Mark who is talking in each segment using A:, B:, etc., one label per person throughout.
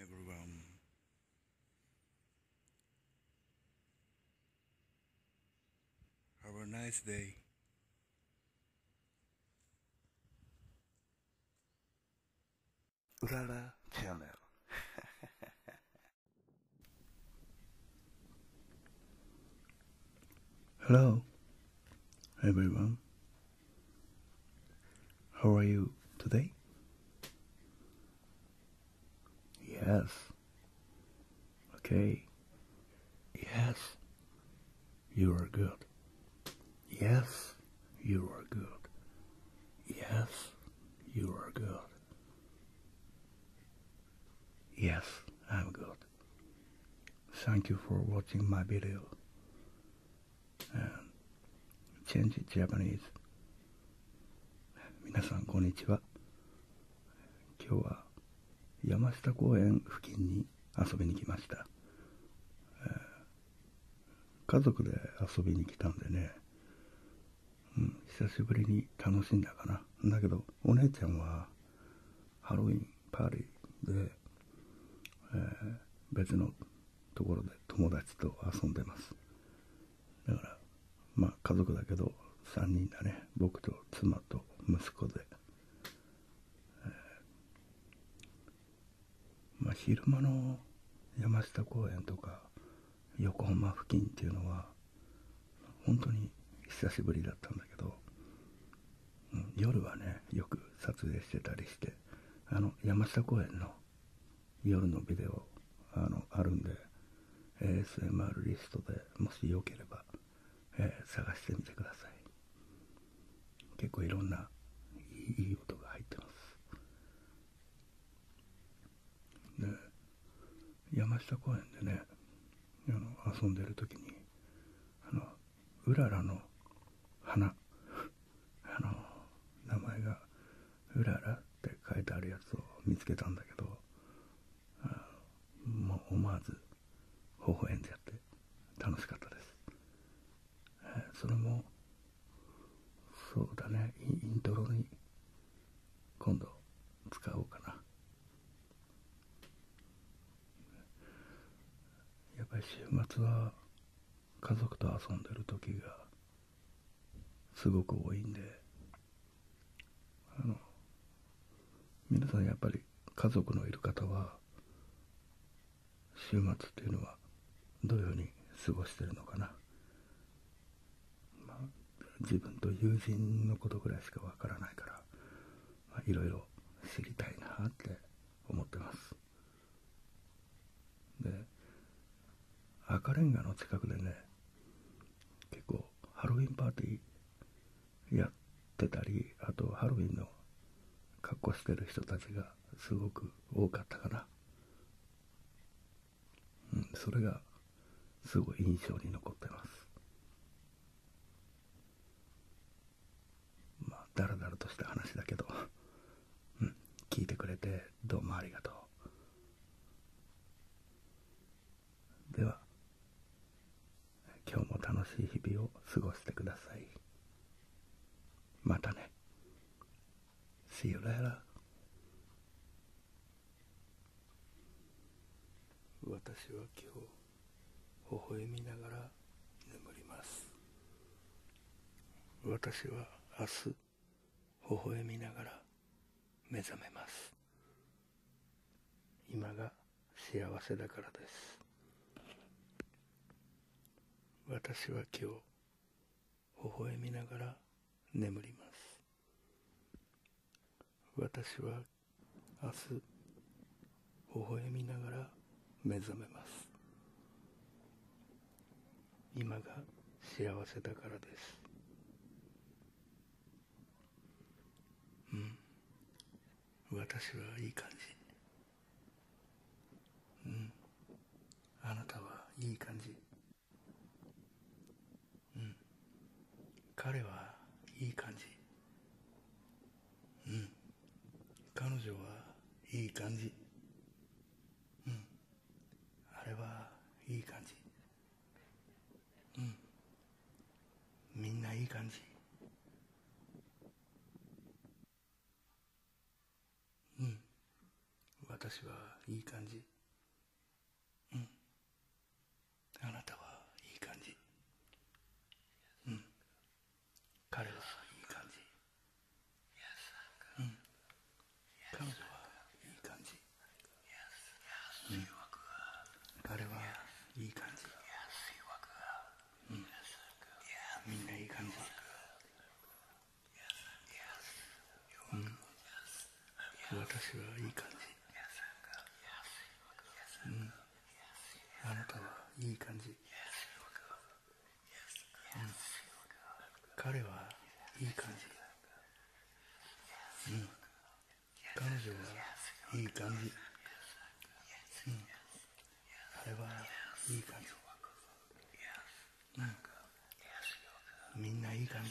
A: everyone. Have a nice day. Lala Channel. Hello, everyone. How are you today? Yes. Okay. Yes. You are good. Yes, you are good. Yes, you are good. Yes, I'm good. Thank you for watching my video. チェンジジャパニーズ皆さんこんにちは今日は山下公園付近に遊びに来ました、え家族で遊びに来たんでね、うん、久しぶりに楽しんだかなだけどお姉ちゃんはハロウィンパーティーで、え別のところで友達と遊んでます。だから、まあ家族だけど3人だね。僕と妻と息子で。えま昼間の山下公園とか横浜付近っていうのは本当に久しぶりだったんだけど、夜はねよく撮影してたりしてあの山下公園の夜のビデオあのあるんで ASMR リストでもしよければ、えー、探してみてください結構いろんないい音が入ってますで山下公園でねあの遊んでるときにあのうららの花 あの名前がうららって書いてあるやつを見つけたんだけどもう思わず微笑んでやって楽しかったです、えそれもそうだねイントロに今度使おうかなやっぱり週末は家族と遊んでる時がすごく多いんであの皆さんやっぱり家族のいる方は週末っていうのはどのように過ごしてるのかな、ま自分と友人のことぐらいしかわからないからいろいろ知りたいなって思ってますで赤レンガの近くでね結構ハロウィンパーティーやってたりあとハロウィンの格好してる人たちがすごく多かったかなうんそれがすごい印象に残ってますまあだらだらとした話だけど うん聞いてくれてどうもありがとうでは今日も楽しい日々を過ごしてくださいまたね See you later 私は今日微笑みながら眠ります私は明日微笑みながら目覚めます今が幸せだからです私は今日微笑みながら眠ります明日微笑みながら目覚めます今が幸せだからですうん私はいい感じうんあなたはいい感じうん彼はいい感じうん、彼女はいい感じ、うん、あれはいい感じ、うん、みんないい感じ、うん、私はいい感じ、うん、あなたはいい感じ、うん、彼はいい感じ、うん、彼女はいい感じ、うん、彼はいい感じ、うん、みんないい感じ、うん、私はいい感じ、うんあなたはいい感じ、うん、彼はいい感じ、うん、彼女はいい感じ、うん、彼はいい感じ、うん、みんないい感じ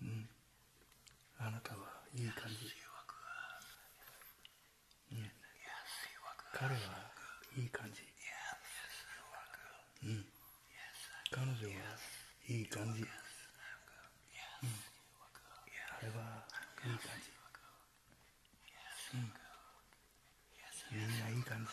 A: うん、あなたはいい感じ、う彼はいい感じ、うん、彼女はいい感じ、うん、あれはいい感じ、うん、みんないい感じ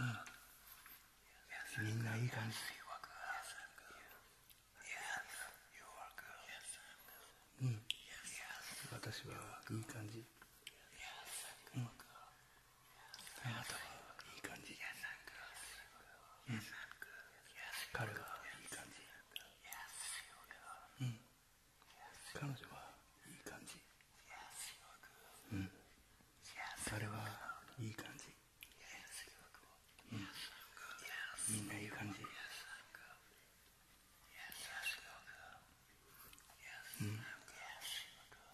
A: うん、みんないい感じうん、私はいい感じ、うん、あなたはいい感じ、彼はいい感じ、うん、彼女はいい感じ、うんそれはいい感じ、うん、みんないい感じ、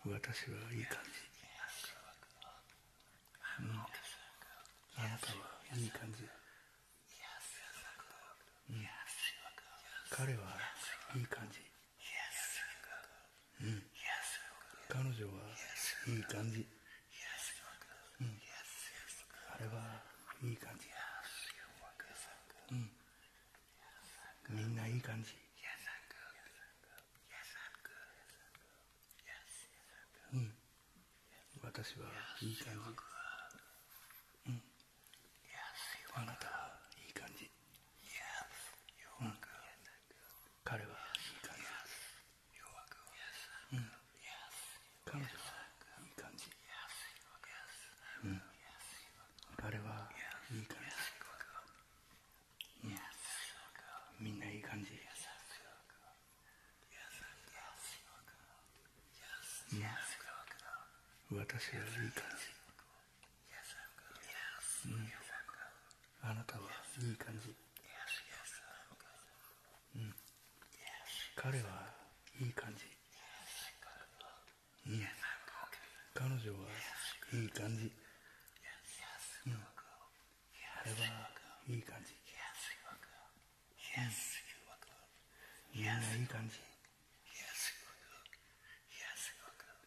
A: うん、私はいい感じ、うん、あなたはいい感じ、うん、彼はいい感じうん、彼女はいい感じ、うん、あれはいい感じ、うん、みんないい感じうん私はいい感じ、うん、あなたはいい感じうん、彼はいい感じ。うん、彼はいい感じ。うん、彼はいい感じ。みんないい感じ。う私はいい感じ。うん、あなたはいい感じ、うん、彼はいい感じ、うん、彼女はいい感じ、うん、あれはいい感じ、うん、みんないい感じ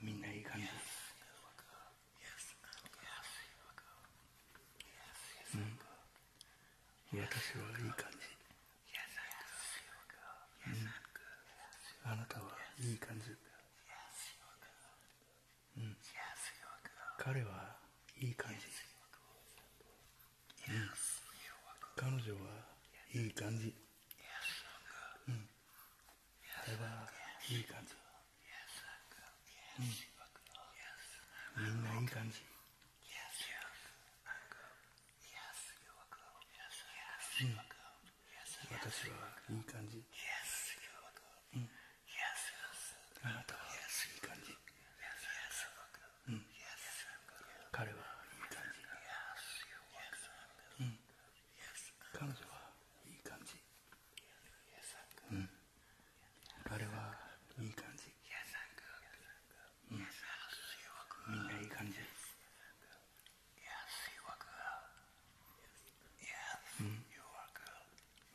A: みんないい感じです、うん、私はいい感じ、うん、あなたはいい感じ、うん、彼はいい感じ、うん、彼女はいい感じ、うん、あれはいい感じ、うん、みんないい感じ、うん、私はいい感じ、うん、あなたはいい感じ、うん、彼はいい感じ、うん彼女はいい感じうん俺はいい感じうんみんないい感じ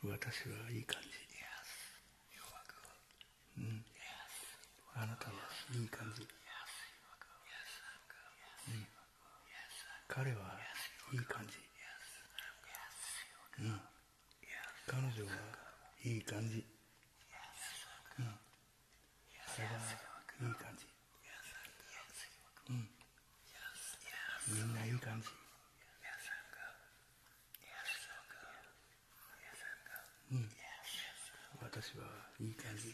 A: うん私はいい感じうんあなたはいい感じうん彼はいい感じうん彼女はいい感じうん彼はいい感じうんみんないい感じうん私はいい感じ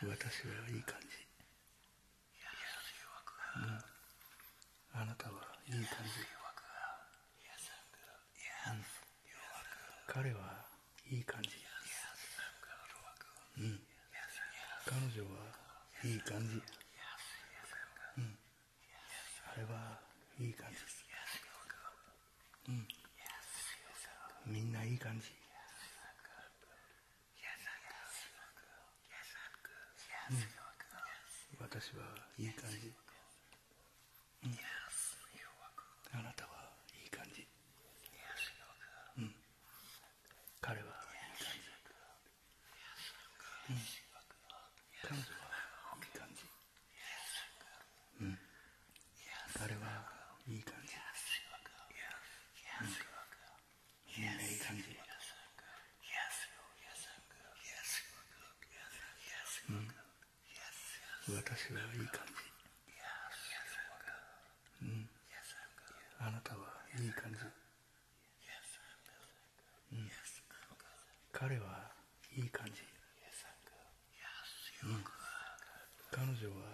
A: 私はいい感じあなたはいい感じ彼はいい感じうん彼女はいい感じうんあれはいい感じうん、みんないい感じうん、私はいい感じ、うん、あなたはいい感じ、うん、彼はいい感じ、うん、彼女はいい感じ、うん、彼はいい感じみんないい感じうん、私はいい感じ、うん、あなたはいい感じ、うん、彼はいい感じうん、彼女は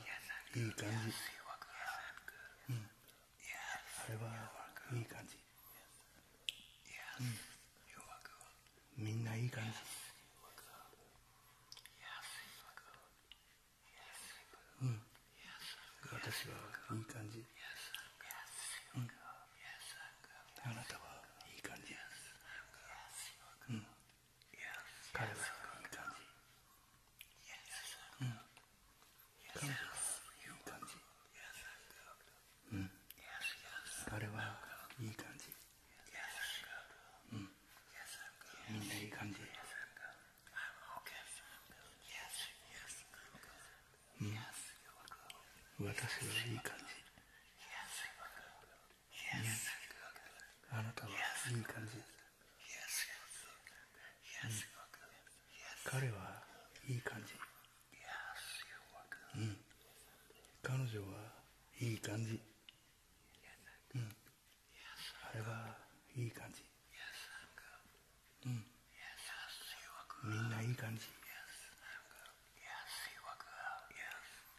A: いい感じ、うん、あれはいい感じ、うん、みんないい感じうん私はいい感じ、うん、あなたはいい感じ、うん彼は感じうん彼はいい感じうん彼はいい感じうんみんないい感じう私はいい感じあなたはいい感じ、うん、彼はいい感じ、うん、彼女はいい感じ、うん、あれはいい感じ、うん、みんないい感じ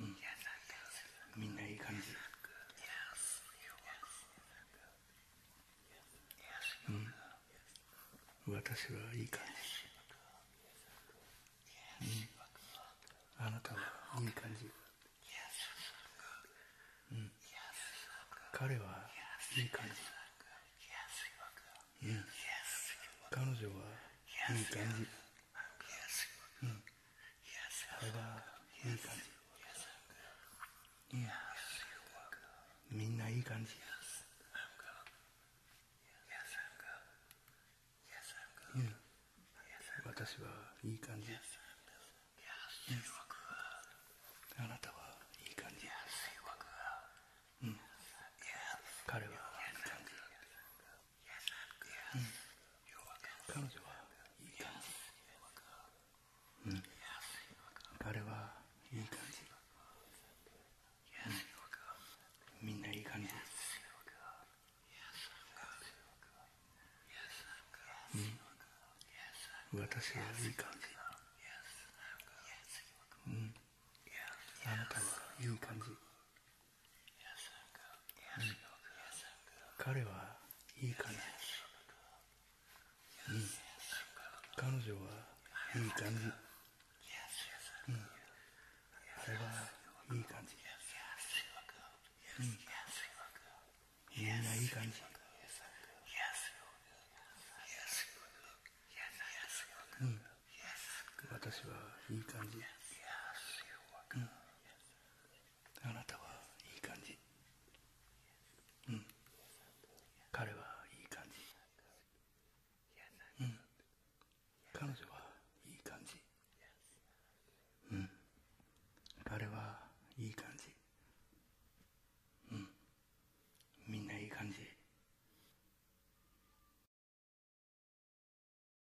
A: うん、みんないい感じ。うん、私はいい感じ。うん、あなたはいい感じ。うん、彼はいい感じ。うん、彼女はいい感じ。うん、これはいい感じみんないい感じうん、私はいい感じ、あなたはいい感じ、うん、彼はいい感じうん、彼女はいい感じ、うん、彼はいい感じ、うん、みんないい感じうん、私はいい感じうん、あなたはいい感じ彼はいい彼うん、彼女はいい感じ、うん、あはいい感じ、うん、みんないい感じ、うん、私はいい感じ、うんあなたはいい感じうん彼はいい感じうん彼女はいい感じうん彼はいい感じうんみんないい感じ